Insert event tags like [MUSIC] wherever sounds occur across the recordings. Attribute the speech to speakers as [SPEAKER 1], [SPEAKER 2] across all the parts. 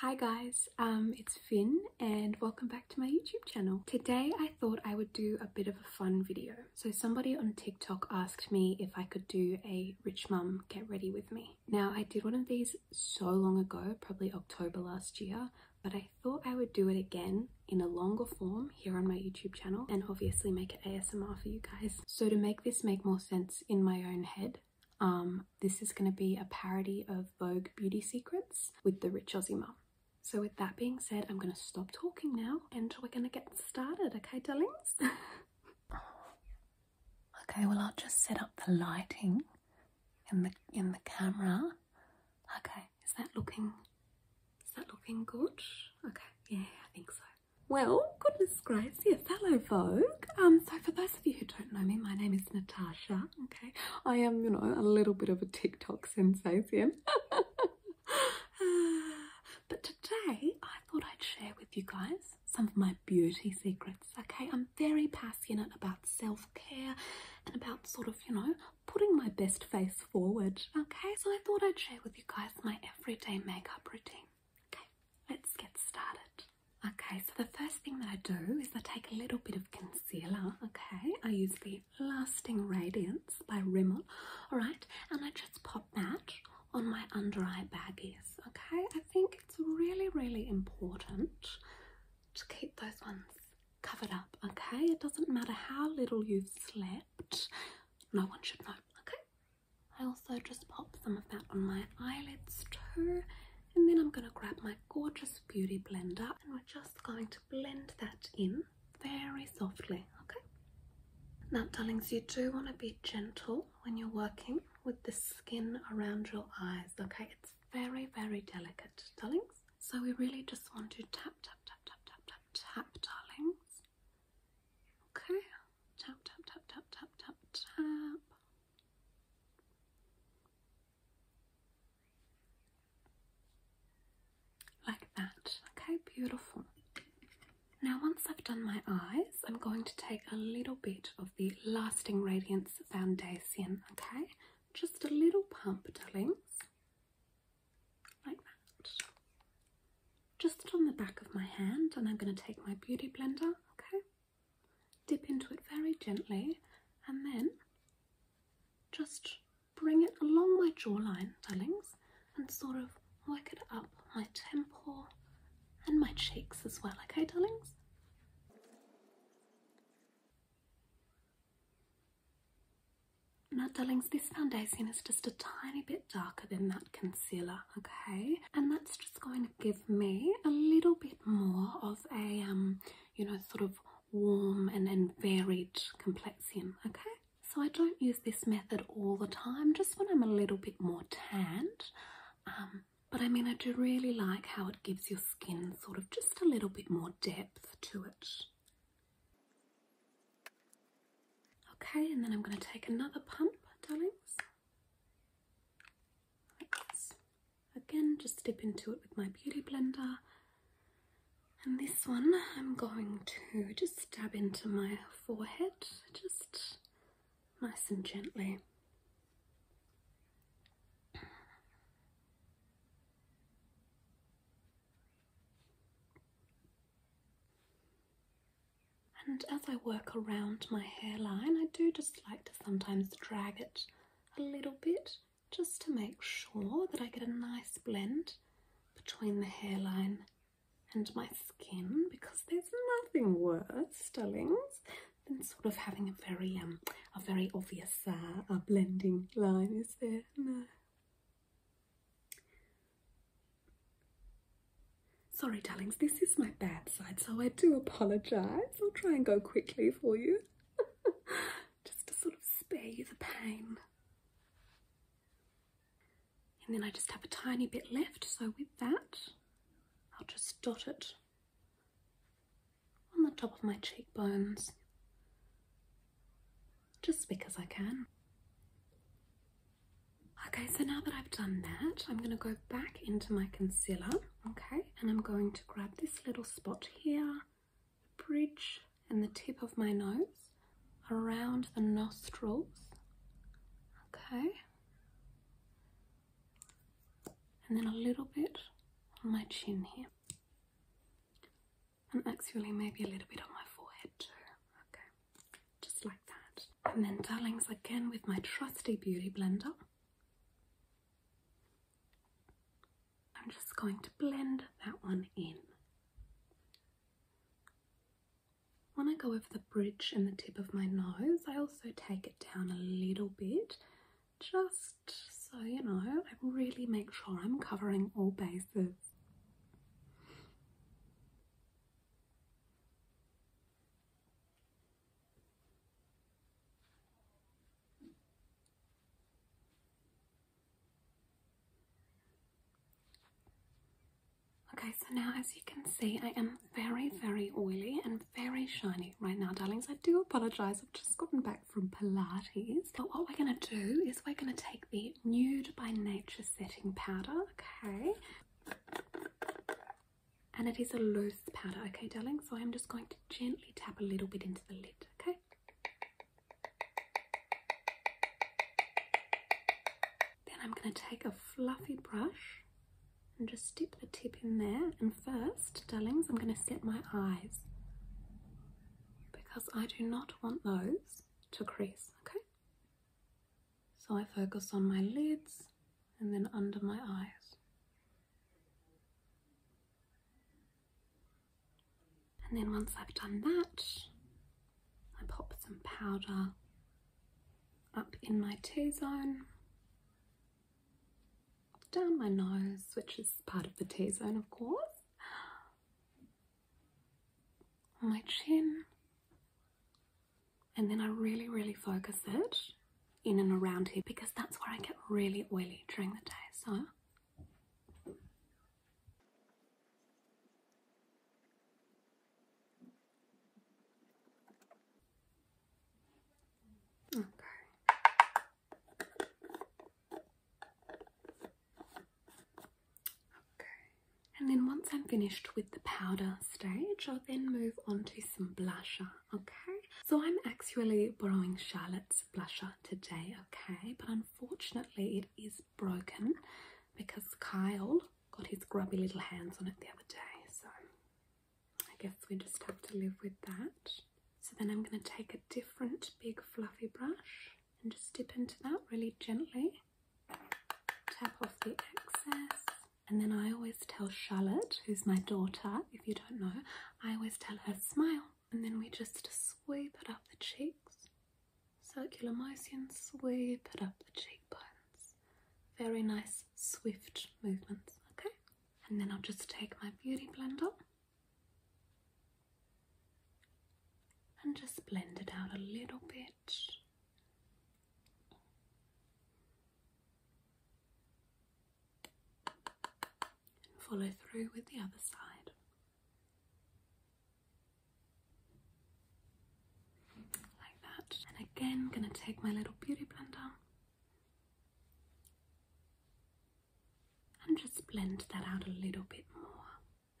[SPEAKER 1] Hi guys, um, it's Finn and welcome back to my YouTube channel. Today I thought I would do a bit of a fun video. So somebody on TikTok asked me if I could do a rich mum get ready with me. Now I did one of these so long ago, probably October last year, but I thought I would do it again in a longer form here on my YouTube channel and obviously make it ASMR for you guys. So to make this make more sense in my own head, um, this is going to be a parody of Vogue Beauty Secrets with the Rich Aussie Mum. So with that being said, I'm going to stop talking now and we're going to get started, okay darlings? [LAUGHS] okay, well I'll just set up the lighting in the in the camera. Okay, is that looking is that looking good? Okay, yeah, I think so. Well, goodness gracious, hello Vogue. Um, so for those of you who don't know me, my name is Natasha. Okay, I am, you know, a little bit of a TikTok sensation. [SIGHS] but today I thought I'd share with you guys some of my beauty secrets. Okay, I'm very passionate about self care and about sort of, you know, putting my best face forward. Okay, so I thought I'd share with you guys my everyday makeup routine. Okay, let's get started. Okay, so the first thing that I do is I take a little bit of concealer. Okay, I use the Lasting Radiance by Rimmel. All right, and I just pop that on my under eye baggies. Okay, I think it's really, really important to keep those ones covered up. Okay, it doesn't matter how little you've slept, no one should know. Okay, I also just pop some of that on my eyelids too. And then I'm going to grab my gorgeous beauty blender and we're just going to blend that in very softly, okay? Now, darlings, you do want to be gentle when you're working with the skin around your eyes, okay? It's very, very delicate, darlings. So we really just want to tap, tap, tap, tap, tap, tap, tap, darlings. Okay, tap, tap, tap, tap, tap, tap, tap. Like that. Okay, beautiful. Now, once I've done my eyes, I'm going to take a little bit of the Lasting Radiance Foundation, okay? Just a little pump, darlings. Like that. Just on the back of my hand, and I'm going to take my beauty blender, okay? Dip into it very gently and then just bring it along my jawline, darlings, and sort of work it up my temple and my cheeks as well, okay, darlings? Now, darlings, this foundation is just a tiny bit darker than that concealer, okay? And that's just going to give me a little bit more of a um, you know, sort of warm and, and varied complexion, okay? So I don't use this method all the time, just when I'm a little bit more tanned. Um, but I mean, I do really like how it gives your skin sort of just a little bit more depth to it. Okay, and then I'm going to take another pump, darlings. Again, just dip into it with my beauty blender. And this one, I'm going to just dab into my forehead, just nice and gently. And as I work around my hairline, I do just like to sometimes drag it a little bit just to make sure that I get a nice blend between the hairline and my skin because there's nothing worse, darlings, than sort of having a very um a very obvious uh, a blending line, is there? No. Sorry, darlings, this is my bad side, so I do apologise. I'll try and go quickly for you. [LAUGHS] just to sort of spare you the pain. And then I just have a tiny bit left, so with that, I'll just dot it on the top of my cheekbones, just because I can. Okay, so now that I've done that, I'm going to go back into my concealer okay and I'm going to grab this little spot here the bridge and the tip of my nose around the nostrils okay and then a little bit on my chin here and actually maybe a little bit on my forehead too okay just like that and then darlings again with my trusty beauty blender I'm just going to blend that one in. When I go over the bridge and the tip of my nose, I also take it down a little bit just so you know, I really make sure I'm covering all bases. Okay, so now as you can see, I am very, very oily and very shiny right now, darlings. I do apologise, I've just gotten back from Pilates. But what we're going to do is we're going to take the Nude by Nature setting powder, okay? And it is a loose powder, okay, darling? So I'm just going to gently tap a little bit into the lid, okay? Then I'm going to take a fluffy brush and just dip the tip in there. And first, darlings, I'm going to set my eyes because I do not want those to crease, okay? So I focus on my lids and then under my eyes. And then once I've done that, I pop some powder up in my T-zone, down my nose, which is part of the T-zone of course, my chin, and then I really, really focus it in and around here because that's where I get really oily during the day. So Okay. Okay. And then once I'm finished with the powder stage, I'll then move on to some blusher okay? So I'm actually borrowing Charlotte's blusher today, okay? But unfortunately it is broken because Kyle got his grubby little hands on it the other day. So I guess we just have to live with that. So then I'm going to take a different big fluffy brush and just dip into that really gently. Tap off the excess. And then I always tell Charlotte, who's my daughter, if you don't know, I always tell her, smile, and then we just sweep it up the cheeks. Circular motion, sweep it up the cheekbones. Very nice, swift movements, okay? And then I'll just take my beauty blender and just blend it out a little bit and follow through with the other side. Like that. And again, gonna take my little beauty blender and just blend that out a little bit more.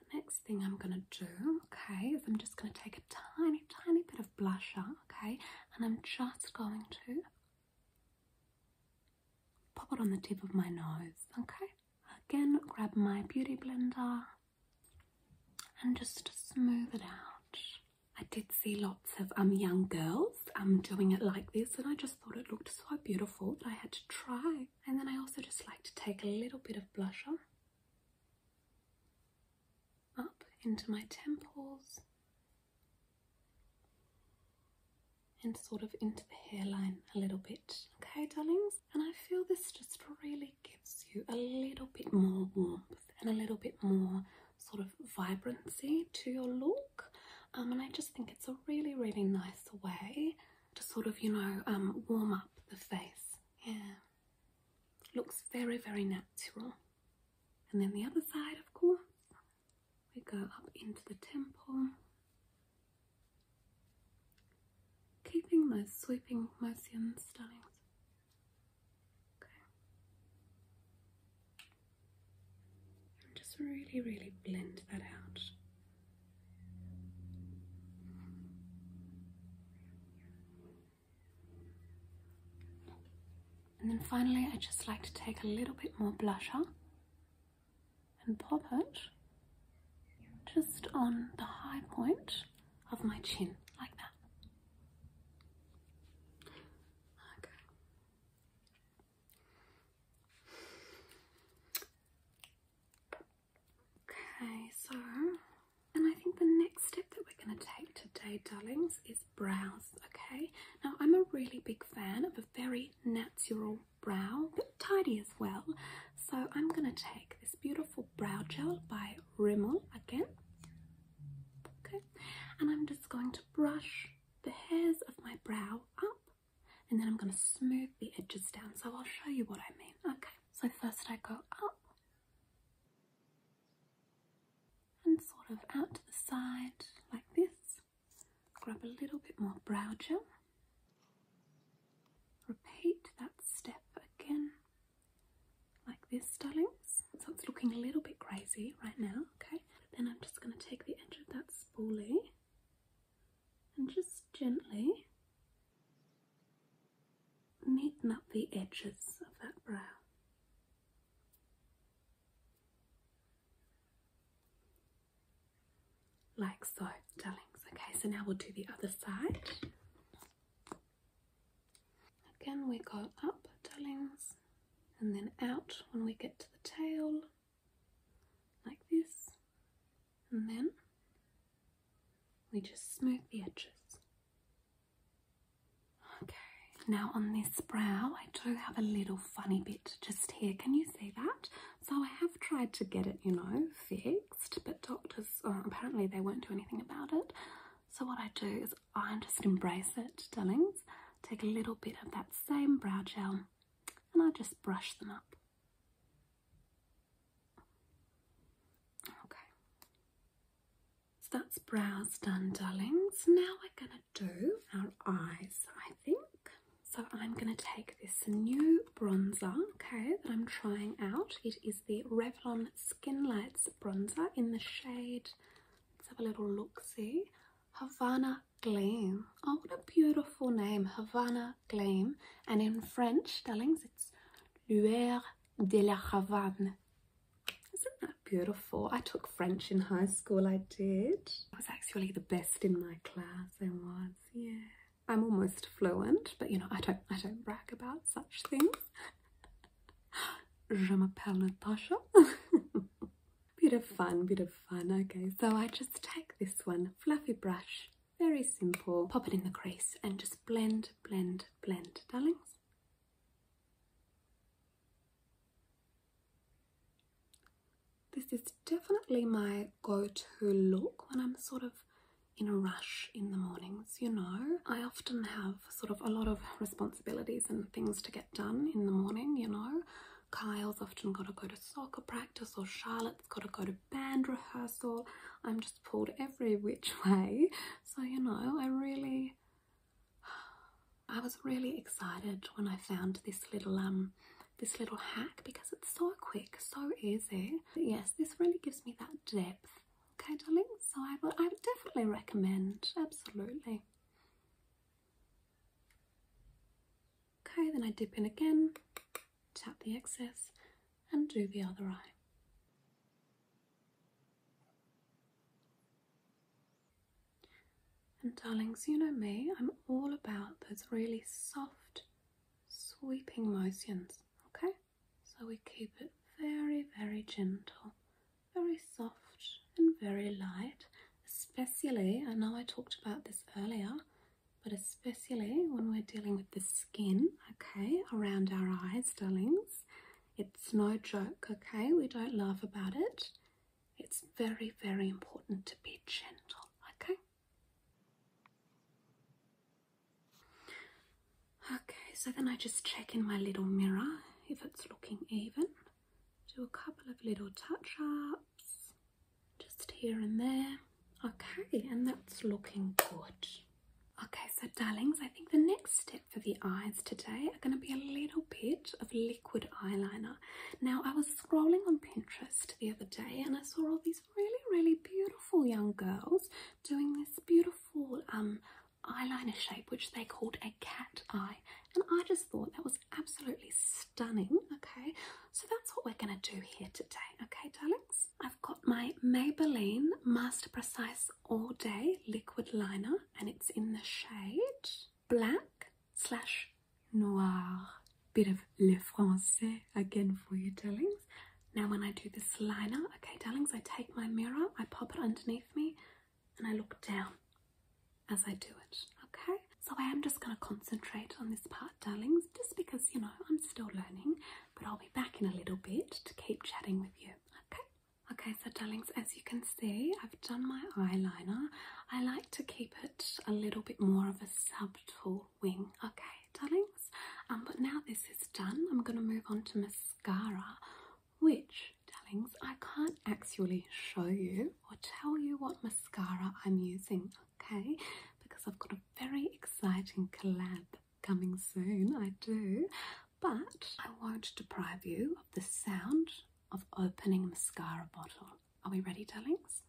[SPEAKER 1] The next thing I'm gonna do, okay, is I'm just gonna take a tiny, tiny bit of blusher, okay, and I'm just going to Pop it on the tip of my nose, okay? Again, grab my beauty blender and just smooth it out. I did see lots of um young girls um doing it like this, and I just thought it looked so beautiful that I had to try. And then I also just like to take a little bit of blusher up into my temples and sort of into the hairline a little bit. Okay, darlings? And I feel this just really gives you a little bit more warmth and a little bit more sort of vibrancy to your look. Um, and I just think it's a really, really nice way to sort of, you know, um, warm up the face. Yeah. Looks very, very natural. And then the other side, of course, we go up into the temple, keeping those sweeping Mercian stylings. Okay. And just really, really blend that out. And then finally, I just like to take a little bit more blusher and pop it just on the high point of my chin, like that. Okay. Okay, so, and I think the next step that we're going to take today, darlings, is brows. Okay, now I'm a really big fan of a very natural brow but tidy as well so i'm going to take this beautiful brow gel by rimmel again okay and i'm just going to brush the hairs of my brow up and then i'm going to smooth the edges down so i'll show you what i mean okay so first i go up and sort of out to the side like this Grab a little bit more brow gel. Repeat that step again, like this, darlings. So it's looking a little bit crazy right now, okay? Then I'm just going to take the edge of that spoolie and just gently neaten up the edges of that brow. Like so, darlings. Okay, so now we'll do the other side. Again, we go up, darlings, and then out when we get to the tail, like this, and then we just smooth the edges. Okay, now on this brow, I do have a little funny bit just here. Can you See that. So I have tried to get it, you know, fixed, but doctors uh, apparently they won't do anything about it. So what I do is I just embrace it, darlings. Take a little bit of that same brow gel and I just brush them up. Okay. So that's brows done, darlings. Now we're going to going do our eyes, I think. So I'm going to take this new bronzer, okay, that I'm trying out. It is the Revlon Skin Lights bronzer in the shade, let's have a little look-see, Havana Gleam. Oh, what a beautiful name, Havana Gleam. And in French, darlings, it's Lueur de la Havane. Isn't that beautiful? I took French in high school, I did. I was actually the best in my class I was. Yeah. I'm almost fluent, but you know, I don't I don't brag about such things. Je m'appelle Natasha. [LAUGHS] bit of fun, bit of fun. Okay, so I just take this one, fluffy brush, very simple, pop it in the crease and just blend, blend, blend, darlings. This is definitely my go to look when I'm sort of in a rush in the mornings, you know. I often have sort of a lot of responsibilities and things to get done in the morning, you know. Kyle's often got to go to soccer practice, or Charlotte's got to go to band rehearsal. I'm just pulled every which [LAUGHS] way. So, you know, I really. [SIGHS] I was really excited when I found this little um this little hack because it's so quick, so easy. yes, this really gives me that depth. Okay, darling? So I would, I would definitely recommend, absolutely. Okay, then I dip in again, tap the excess and do the other eye. And darlings, you know me, I'm all about those really soft, sweeping motions, okay? So we keep it very, very gentle, very soft, and very light. Especially, I know I talked about this earlier, but especially when we're dealing with the skin, okay, around our eyes, darlings. It's no joke, okay? We don't laugh about it. It's very, very important to be gentle, okay? Okay, so then I just check in my little mirror if it's looking even. Do a couple of little touch ups just here and there. Okay, and that's looking good. Okay, so darlings, I think the next step for the eyes today are going to be a little bit of liquid eyeliner. Now, I was scrolling on Pinterest the other day and I saw all these really, really beautiful young girls doing this beautiful um, eyeliner shape, which they called a cat eye. And I just thought that was absolutely stunning. Okay, so that's what we're going to do here today. Okay, darlings, I've got my Maybelline Master Precise All Day Liquid Liner and it's in the shade black slash noir. Bit of le français again for you, darlings. Now when I do this liner, okay, darlings, I take my mirror, I pop it underneath me, and I look down as I do it, okay? So I am just going to concentrate on this part, darlings, just because, you know, I'm still learning, but I'll be back in a little bit to keep chatting with you, okay? Okay, so darlings, as you can see, I've done my eyeliner. I like to keep it a little bit more of a subtle wing, okay, darlings. Um, but now this is done, I'm going to move on to mascara, which, darlings, I can't actually show you or tell you what mascara I'm using, okay, because I've got a very exciting collab coming soon. I do, but I won't deprive you of the sound of opening mascara bottle. Are we ready, darlings?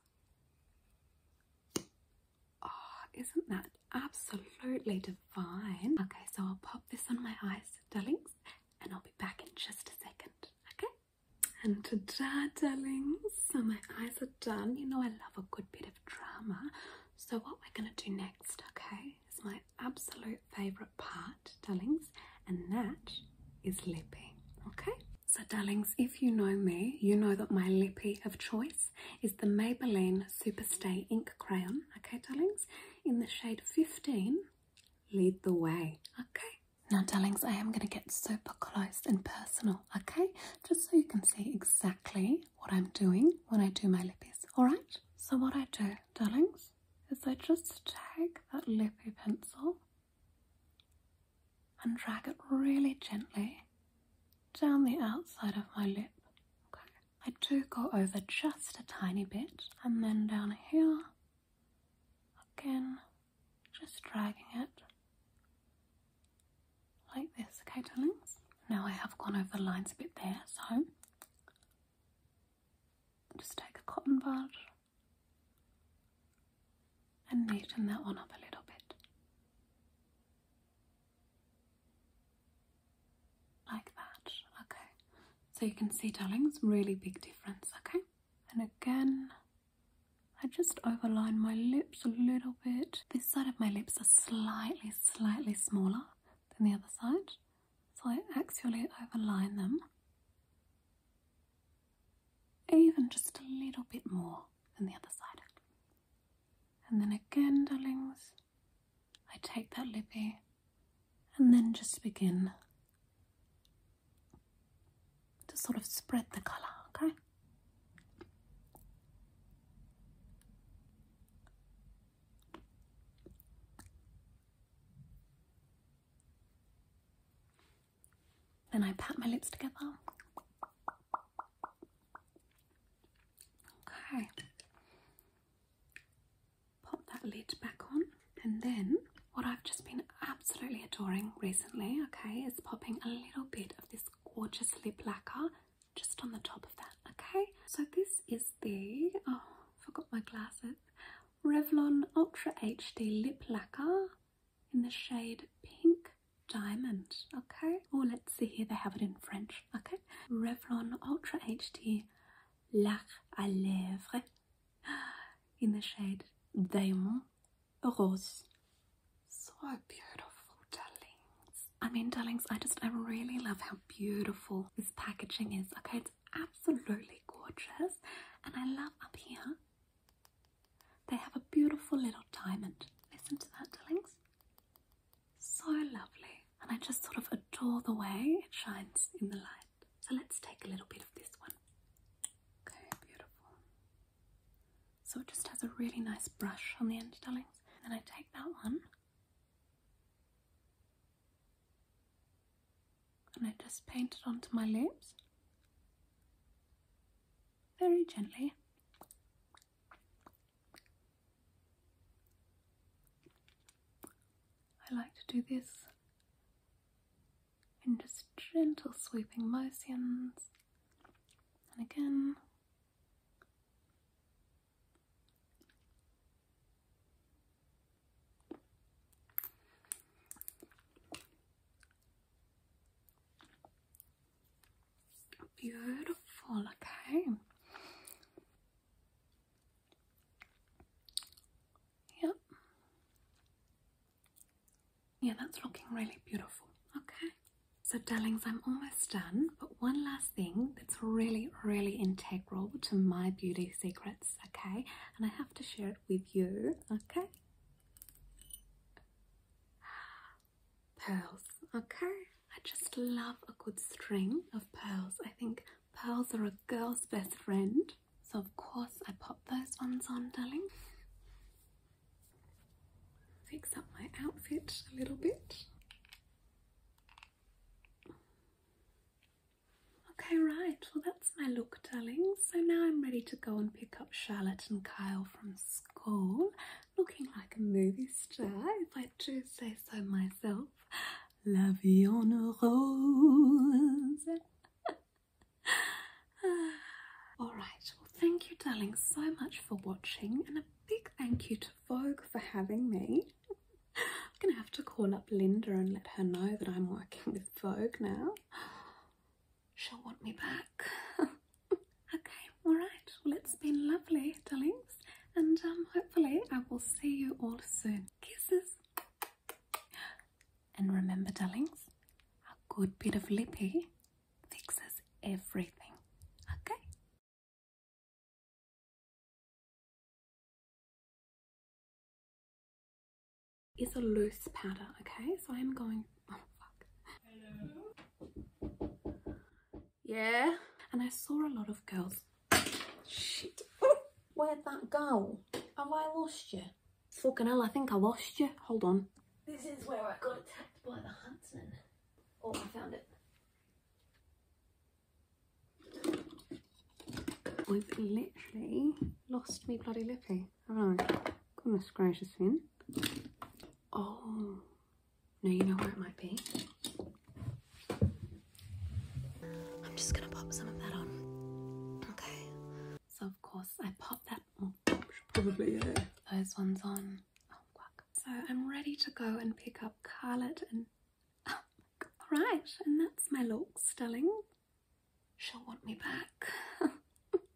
[SPEAKER 1] Oh, isn't that absolutely divine? Okay, so I'll pop this on my eyes, darlings, and I'll be back in just a second. Okay? And ta-da, darlings. So my eyes are done. You know I love a good bit of drama. So what we're gonna do next, okay, is my absolute favorite part, darlings, and that is lipping. Okay? So darlings, if you know me, you know that my lippy of choice is the Maybelline Superstay Ink Crayon. Okay darlings, in the shade 15, lead the way. Okay. Now darlings, I am going to get super close and personal, okay? Just so you can see exactly what I'm doing when I do my lippies, alright? So what I do, darlings, is I just take that lippy pencil and drag it really gently down the outside of my lip. Okay. I do go over just a tiny bit and then down here again, just dragging it like this, okay, darlings? Now I have gone over the lines a bit there, so just take a cotton bud and neaten that one up a little bit. Like that, okay. So you can see, darlings, really big difference, okay? And again, I just overline my lips a little bit. This side of my lips are slightly, slightly smaller than the other side. So I actually overline them even just a little bit more than the other side. And then again, darlings, I take that lippy and then just begin to sort of spread the colour, okay? Then I pat my lips together. Okay. Pop that lid back on, and then what I've just been absolutely adoring recently, okay, is popping a little bit of this gorgeous lip lacquer just on the top of that, okay? So this is the, oh, forgot my glasses, Revlon Ultra HD Lip Lacquer in the shade pink diamond okay or let's see here they have it in french okay revlon ultra hd lac à lèvres [GASPS] in the shade diamond rose so beautiful darlings i mean darlings i just i really love how beautiful this packaging is okay it's absolutely gorgeous and i love up here they have a beautiful little diamond. Listen to that, darlings. So lovely. And I just sort of adore the way it shines in the light. So let's take a little bit of this one. Okay, beautiful. So it just has a really nice brush on the end, darlings. And I take that one. And I just paint it onto my lips very gently. I like to do this in just gentle sweeping motions, and again. Beautiful, okay. Yep. Yeah, that's looking really beautiful. Okay. So, darlings, I'm almost done, but one last thing that's really, really integral to my beauty secrets, okay? And I have to share it with you, okay? Pearls, okay? I just love a good string of pearls. I think pearls are a girl's best friend. So of course I pop those ones on, darling. Fix up my outfit a little bit. Okay, right. Well, that's my look, darling. So now I'm ready to go and pick up Charlotte and Kyle from school looking like a movie star, if I do say so myself. La vie en rose. [LAUGHS] Ah, all right, well, thank you, darling, so much for watching, and a big thank you to Vogue for having me. I'm gonna have to call up Linda and let her know that I'm working with Vogue now she'll want me back. [LAUGHS] okay, all right. Well, it's been lovely, darlings, and um, hopefully I will see you all soon. Kisses. And remember, darlings, a good bit of lippy fixes everything. Okay. Is a loose powder, okay? So I'm going yeah. And I saw a lot of girls. [LAUGHS] Where'd that go? Have I lost you? Fucking hell, I think I lost you. Hold on. This is where I got attacked by the huntsman. Oh, I found it. I've literally lost me bloody lippy haven't I? Goodness gracious, Finn. Oh, no, you know where it might be. I'm just gonna pop some of that on. Okay. So of course I pop that. Oh, probably yeah. Those ones on. Oh, so I'm ready to go and pick up Carlet and. Oh, all right, and that's my look, Stelling. She'll want me back. [LAUGHS]